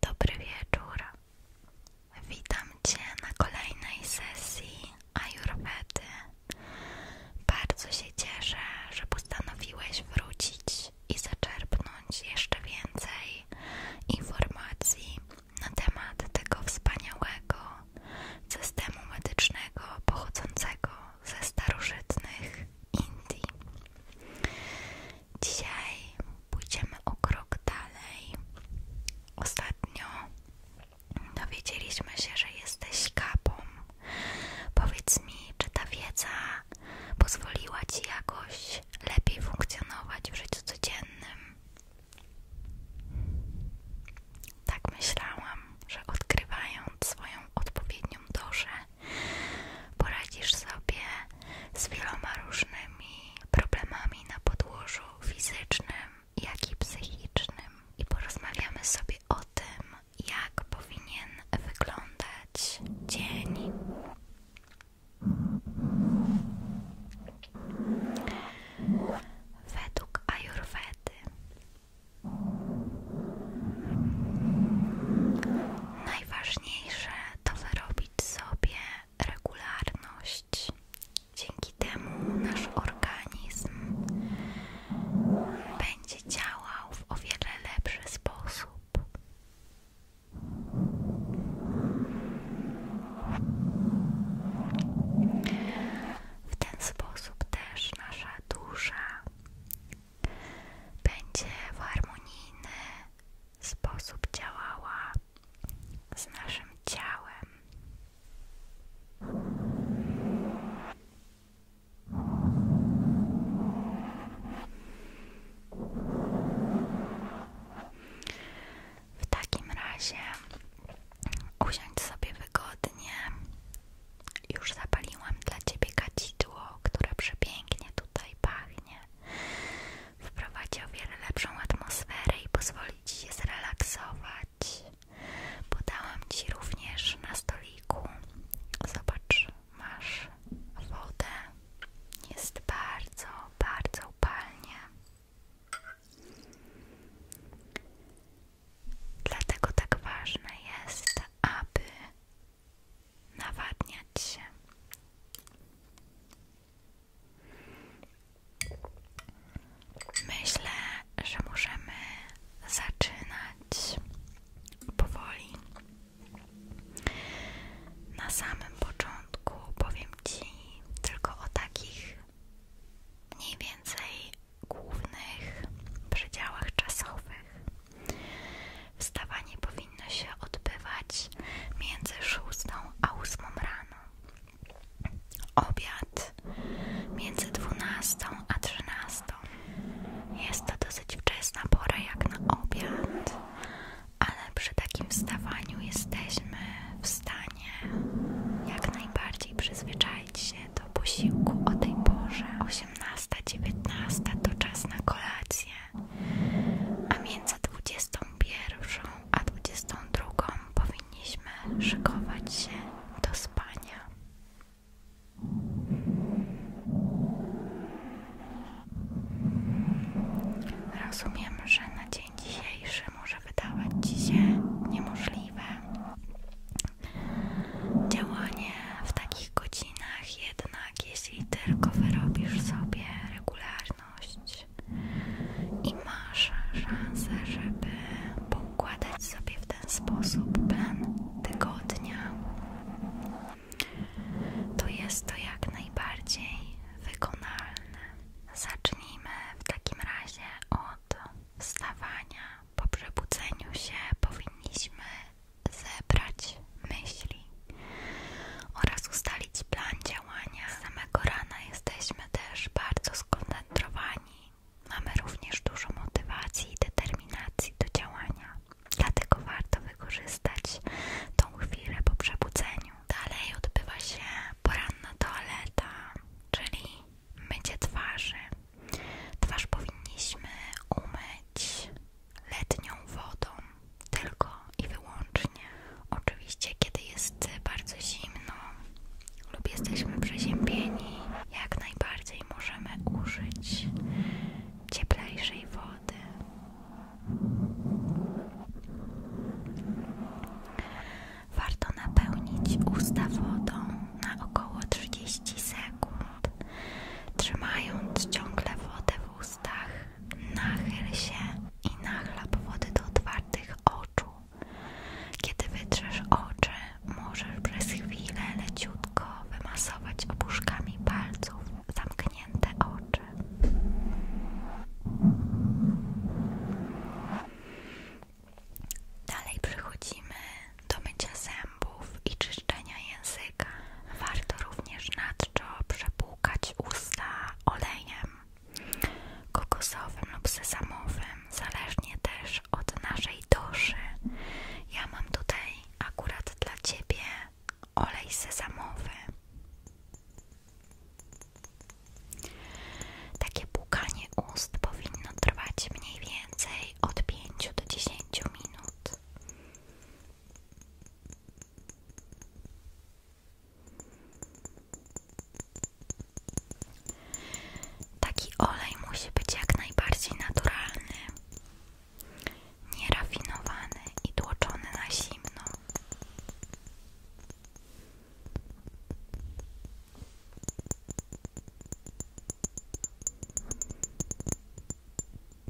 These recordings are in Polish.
Dobry wieczór. Witam Cię na kolejnej sesji Ayurvedy. Bardzo się cieszę, że postanowiłeś wrócić i zaczerpnąć jeszcze więcej informacji na temat tego wspaniałego systemu medycznego pochodzącego ze starożytnych Indii. Dzisiaj pójdziemy o krok dalej. Ostatnio dowiedzieliśmy się, że jesteś kapą. Powiedz mi, czy ta wiedza pozwoliła ci jakoś lepiej funkcjonować w życiu codziennym? Tak myślałam, że odkrywając swoją odpowiednią dorze. Poradzisz sobie z wieloma różnymi problemami na podłożu fizycznym, jak i psychicznym. I porozmawiamy sobie o tym, jak powinien wyglądać dzień. Według Ajurwedy najważniejsze to wyrobić robić sobie regularność. Dzięki temu nasz organizm będzie działał w o wiele lepszy sposób. W ten sposób też nasza dusza będzie w harmonijny sposób działała z naszym ciałem. W takim razie usiądź sobie wygodnie. Już zapaliłam dla Ciebie kacidło, które przepięknie tutaj pachnie wprowadzi o wiele lepszą atmosferę i pozwoli Ci się zrelaksować. Podałam Ci również na stoliku, zobacz, masz wodę, jest bardzo, bardzo upalnie. Dlatego tak ważne jest, aby nawadniać się. Myślę, że możemy zaczynać powoli. Na samym początku powiem Ci tylko o takich mniej więcej głównych przedziałach czasowych. Wstawanie powinno się odbywać między 6 a 8 rano. Obiad między 12 a 13. Jest to dosyć wczesna pora jak na obiad, ale przy takim wstawaniu jesteśmy w stanie jak najbardziej przyzwyczaić się do posiłku o tej porze. 18-19 to czas na kolację a między 21 a 22 powinniśmy szykować się do spania. Rozumiem, że na dzień dzisiejszy może wydawać Ci się niemożliwe. Działanie w takich godzinach jednak jeśli tylko wyrobisz sobie regularność i masz szansę, żeby poukładać sobie w ten sposób plan tygodnia, to jest to jak najbardziej wykonalne. Zacznijmy w takim razie od wstawania. Po przebudzeniu się powinniśmy zebrać myśli oraz ustalić plan działania. Z samego rana jesteśmy też bardzo skoncentrowani. Mamy również dużo motywacji i determinacji do działania. Dlatego warto wykorzystać tą chwilę po przebudzeniu. Dalej odbywa się poranna toaleta, czyli mycie twarzy. Twarz powinniśmy umyć letnią wodą, tylko i wyłącznie. Oczywiście, kiedy jest bardzo zimno lub jesteśmy przeziębieni, jak najbardziej możemy użyć cieplejszej wody. Warto napełnić usta wodą na około 30 sekund, trzymając ciągle wodę w ustach ustach, nachyl się i nachlap wody do otwartych oczu. Kiedy wytrzesz oczy, możesz przez chwilę leciutko wymasować opuszkami palców zamknięte oczy. Dalej przechodzimy do mycia zębów i czyszczenia czyszczenia języka. Warto również nadto przepłukać usta olejem kokosowym lub sezamowym, zależnie też od naszej doszy. Ja mam tutaj akurat dla Ciebie olej sezamowy. Takie płukanie ust powinno trwać mniej więcej od 5 do 10 minut. Taki olej musi być jak najbardziej naturalny, nierafinowany i tłoczony na zimno.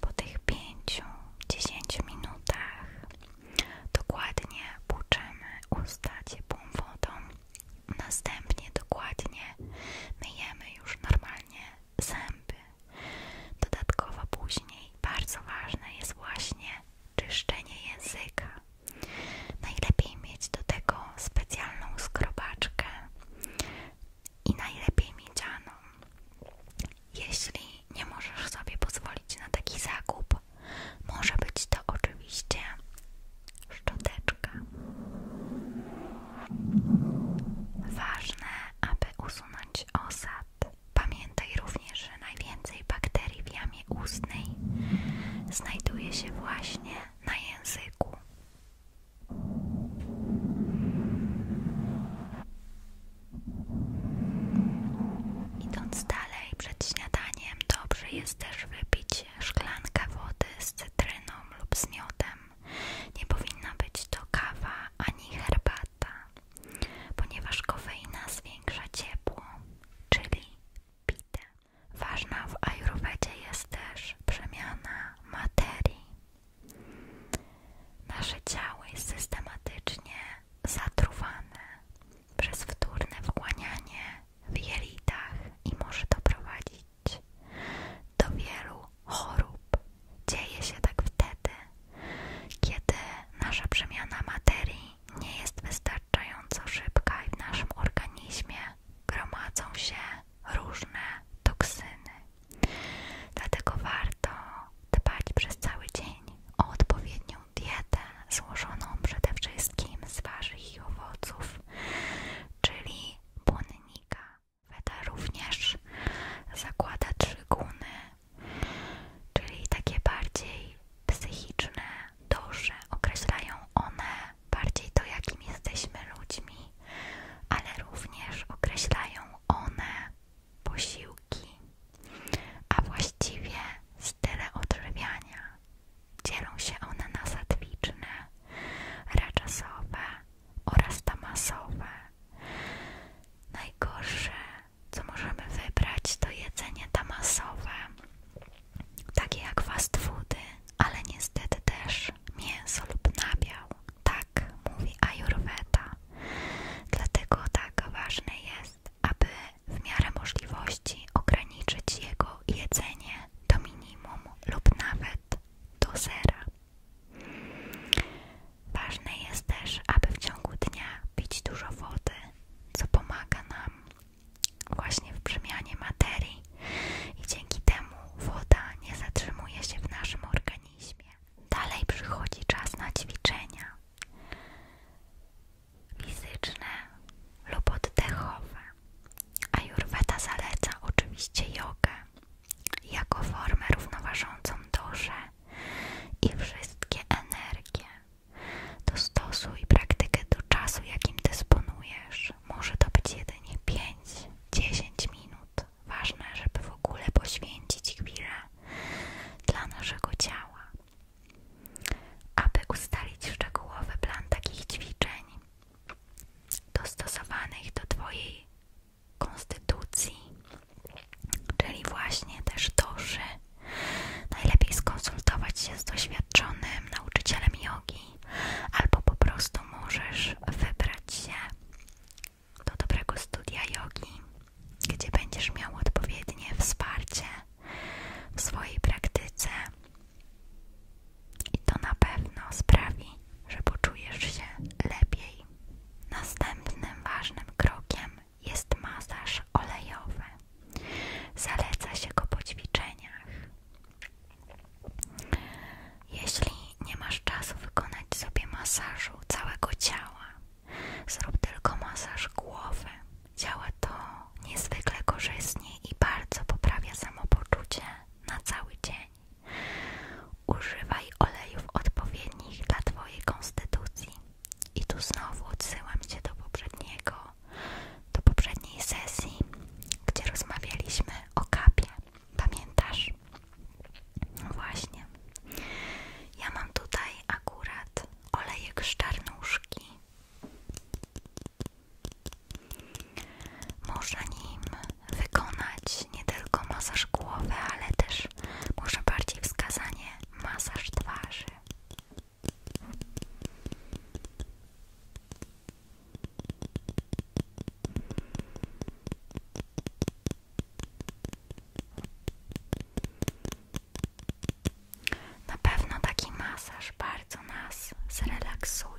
Po tych pięciu, dziesięciu minutach dokładnie płuczemy usta ciepłą wodą. Następnie dokładnie myjemy już normalnie zęby. Dodatkowo później bardzo ważne jest właśnie czyszczenie języka. Najlepiej mieć do tego specjalną skrobaczkę i najlepiej miedzianą. Jeśli nie możesz sobie pozwolić na taki zakup, może być to oczywiście szczoteczka. Ważne, aby usunąć osad. Pamiętaj również, że najwięcej bakterii w jamie ustnej znajduje się właśnie na języku. Idąc dalej przed śniadaniem, dobrze jest też wypić szklankę wody z cytryną lub z miodem. Nie powinna być to kawa ani herbata, ponieważ kofeina zwiększa ciepło czyli pitę. Ważna w ajurwedzie jest też przemiana materii. Nasze ciało jest systematycznie zatruwane przez wtórne wchłanianie w jelitach i może doprowadzić do wielu chorób. Dzieje się tak wtedy, kiedy nasza przemiana materii nie jest wystarczająca wystarczająco szybka i w naszym organizmie gromadzą się różne toksyny. Dlatego warto dbać przez cały dzień o odpowiednią dietę złożoną przede wszystkim z warzyw i owoców, czyli błonnika. Weda również zakłada trzy guny czyli takie bardziej psychiczne dusze. Określają one bardziej to, jakim jesteśmy ludźmi, ale również określają one posiłki, a właściwie style odżywiania. Dzielą się one na satwiczne, raczasowe oraz tamasowe. Najgorsze co możemy wybrać, to jedzenie damasowe, takie jak fast foody, ale niestety też mięso lub nabiał. Tak mówi Ayurveda. Dlatego tak ważne jest, aby w miarę możliwości ograniczyć jego jedzenie do minimum lub nawet do zera. Ważne jest też, aby w ciągu dnia pić dużo wody, co pomaga nam właśnie w przemianie materii i dzięki temu woda nie zatrzymuje się w naszym organizmie. Dalej przychodzi czas na ćwiczenia fizyczne lub oddechowe. a Jurweta zaleca oczywiście jogę jako formę równoważącą duszę i wszystkie energie. Dostosuj praktykę do czasu, jakim dysponujesz. Może to być jedynie 5-10 minut. Ważne, żeby w ogóle poświęcić chwilę dla naszego ciała. Aby ustalić szczegółowy plan takich ćwiczeń, dostosowanych do Twojej konstytucji, Czyli właśnie też to, że najlepiej skonsultować się z doświadczonym nauczycielem jogi, albo po prostu możesz wybrać się do dobrego studia jogi, gdzie będziesz miał odpowiednie wsparcie w swojej praktyce. I to na pewno sprawi, że poczujesz się lepiej. Następnym ważnym krokiem jest masaż olejowy. Zaleca się go po ćwiczeniach. Jeśli nie masz czasu wykonać sobie masażu całego ciała, zrób tylko masaż głowy. Działa to niezwykle korzystnie i bardzo poprawia samopoczucie na cały dzień. Używaj olejów odpowiednich dla Twojej konstytucji. I tu znowu odsyłam Cię do poprzedniego, do poprzedniej sesji, gdzie rozmawialiśmy o kapie. Pamiętasz? No właśnie. Ja mam tutaj akurat olejek z czarnuszki. Można nim wykonać nie tylko masaż głowy, ale też może bardziej wskazanie masaż twarzy. Na pewno taki masaż bardzo nas zrelaksuje.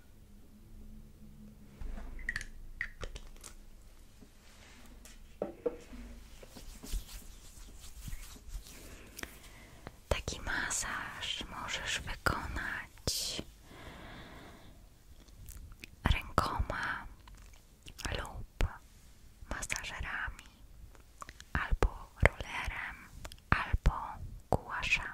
Taki masaż możesz wykonać rękoma lub masażerami, albo rolerem, albo głasza.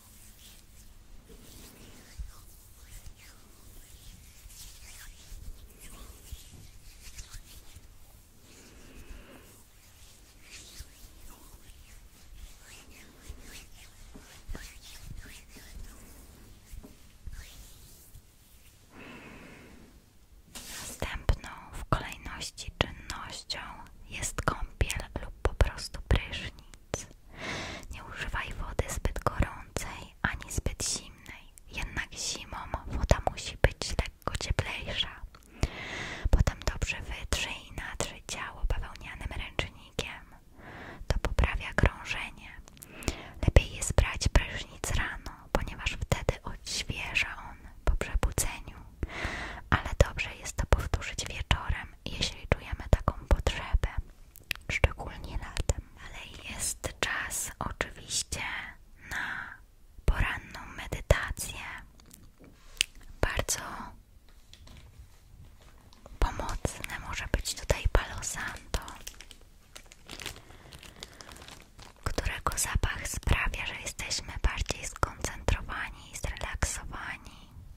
Następną w kolejności czynnością jest kąpiel lub po prostu prysznic. Nie używaj wody zbyt gorącej ani zbyt zimnej, jednak zimą woda musi być lekko cieplejsza. Potem dobrze wytrzyj i natrzyj ciało bawełnianym ręcznikiem. To poprawia krążenie. Lepiej jest brać prysznic rano, ponieważ wtedy odświeża on po przebudzeniu ale dobrze jest to powtórzyć wieczorem, jeśli czujemy taką potrzebę, szczególnie latem. Ale jest czas oczywiście na poranną medytację, bardzo pomocne może być tutaj Palo Santo, którego zapach sprawia, że jesteśmy bardziej skoncentrowani i zrelaksowani.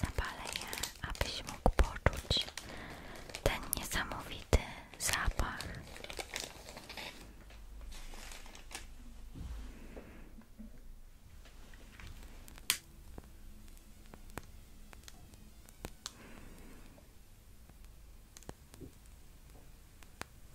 Zapalę je, abyś mógł poczuć ten niesamowity zapach.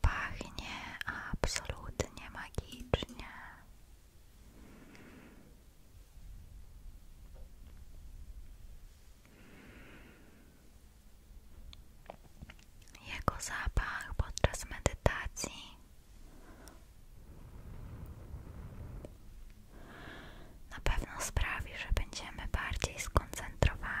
Pachnie absolutnie magicznie. Jego zapach podczas medytacji na pewno sprawi, że będziemy bardziej skoncentrowani.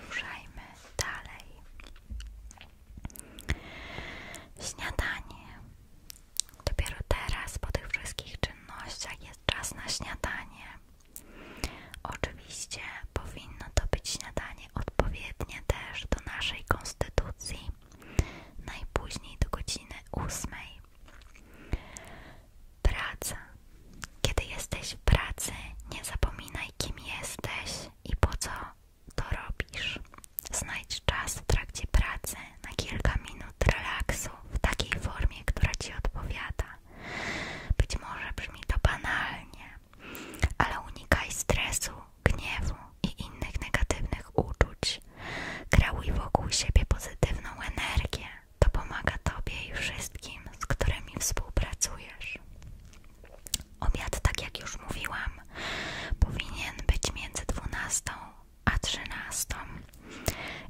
Ruszajmy dalej. Śniadanie. Dopiero teraz, po tych wszystkich czynnościach, jest czas na śniadanie. Oczywiście powinno to być śniadanie odpowiednie też do naszej konstytucji, najpóźniej do godziny ósmej. Praca. Kiedy jesteś w pracy, nie zapominaj kim jesteś i po co to robisz. Znajdź czas w trakcie pracy na kilka minut relaksu w takiej formie, która Ci odpowiada. Być może brzmi to banalnie, ale unikaj stresu, gniewu i innych negatywnych uczuć. Kreuj wokół siebie pozytywną energię. To pomaga Tobie i wszystkim, z którymi współpracujesz. Obiad, tak jak już mówiłam, powinien być między 12 a 13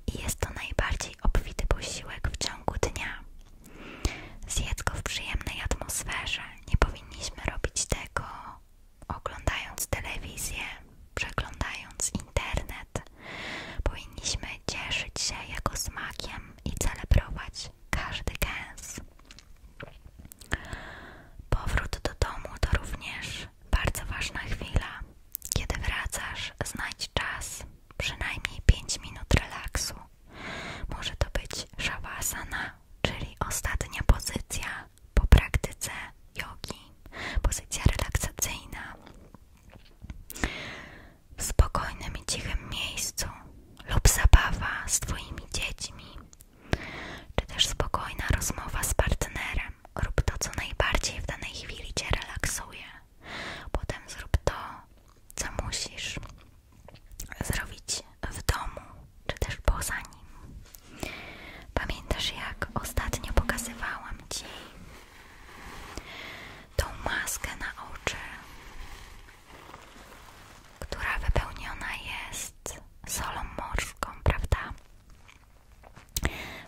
i jest to najbardziej obfity posiłek w ciągu dnia. Zjedz go w przyjemnej atmosferze. Nie powinniśmy robić tego oglądając telewizję, przeglądając internet. Powinniśmy cieszyć się jego smakiem i celebrować każdy gęs. Powrót do domu to również bardzo ważna chwila. Kiedy wracasz, znajdź czas, przynajmniej 5 minut relaksu. Może to być shavasana, czyli ostatnia pozycja po praktyce jogi, pozycja relaksacyjna. W spokojnym i cichym miejscu lub zabawa z Twoimi dziećmi czy też spokojna rozmowa z partnerem. Rób to, co najbardziej w danej chwili Cię relaksuje. Potem zrób to, co musisz zrobić w domu, czy też poza nim. Pamiętasz, jak ostatnio pokazywałam Ci tą maskę na oczy? która wypełniona jest solą morską, prawda?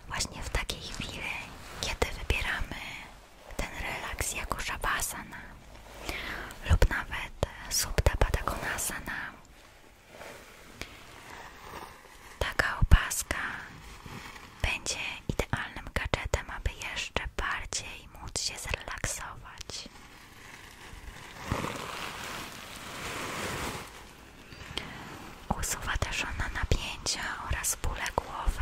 Właśnie w takiej chwili, kiedy wybieramy ten relaks jako shavasana lub nawet subta patagonasana, taka opaska będzie idealnym gadżetem, aby jeszcze bardziej móc się zrelaksować. Usuwa też ona napięcia oraz bóle głowy.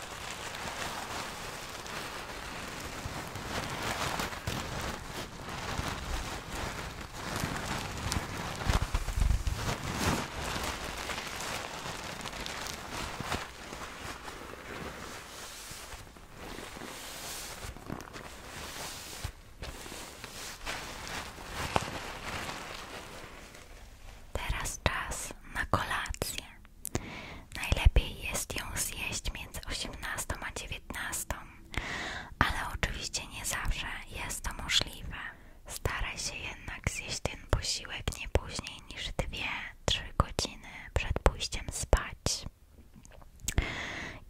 Teraz czas na kolację. Najlepiej jest ją zjeść między osiemnastą a dziewiętnastą, ale oczywiście nie zawsze jest to możliwe. Staraj się jednak zjeść ten posiłek nie później niż 2 trzy godziny przed pójściem spać.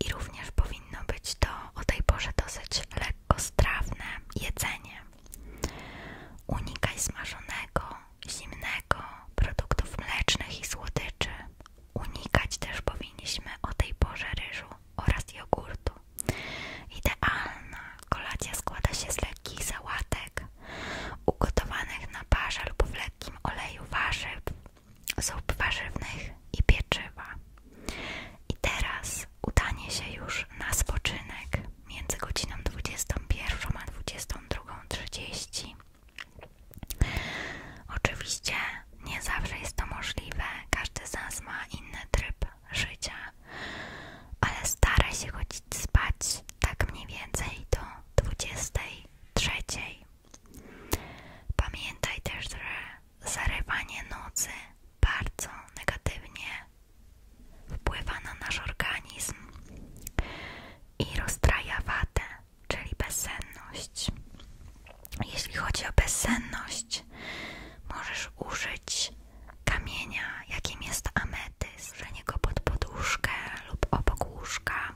I również powinno być to o tej porze dosyć lekkostrawne jedzenie. Unikaj smażonego, zimnego, produktów mlecznych i słodyczy. Unikać też powinniśmy o tej porze ryżu oraz jogurtu. Idealna kolacja składa się z lekkich sałatek, ugotowanych na parze lub w lekkim oleju warzyw, zup warzywnych i pieczywa. I teraz udanie się już na spoczynek między godziną 21 a 22.30 Oczywiście nie zawsze jest to możliwe, każdy z nas ma inny tryb życia, ale staraj się chodzić spać tak mniej więcej do trzeciej. Pamiętaj też, że zarywanie nocy bardzo negatywnie wpływa na nasz organizm i rozstraja watę czyli bezsenność. Jeśli chodzi o bezsenność, możesz użyć kamienia, jakim jest ametyz, że go pod poduszkę lub obok łóżka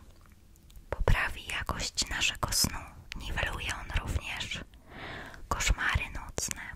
poprawi jakość naszego snu. Niweluje on również koszmary nocne.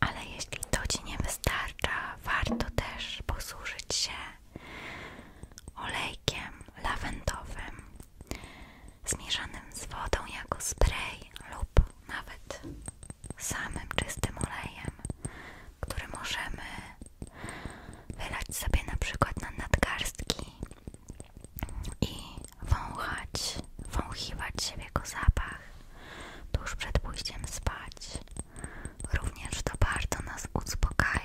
ale jeśli to Ci nie wystarcza, warto też posłużyć się olejkiem lawendowym zmieszanym z wodą jako spray lub nawet samym czystym olejem, który możemy wylać sobie na przykład na nadgarstki i wąchać, wąchiwać siebie jego zapach tuż przed pójściem spać. Również to bardzo nas uspokaja.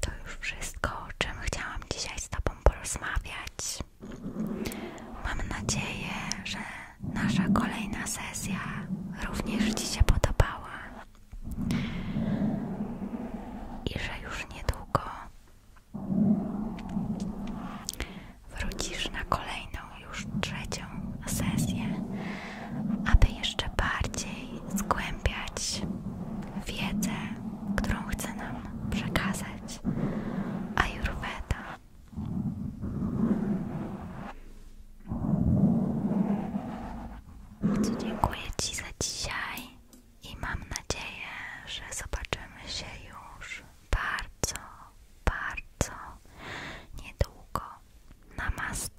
To już wszystko wszystko, o czym chciałam dzisiaj z Tobą porozmawiać. Mam nadzieję, że nasza kolejna sesja również Ci się podobała i że już niedługo wrócisz na kolejną, już trzecią sesję, aby jeszcze bardziej zgłębiać wiedzę, którą chce nam przekazać Ayurveda. Więc dziękuję Ci za dzisiaj i mam nadzieję, że zobaczymy się już bardzo, bardzo niedługo. Namaste!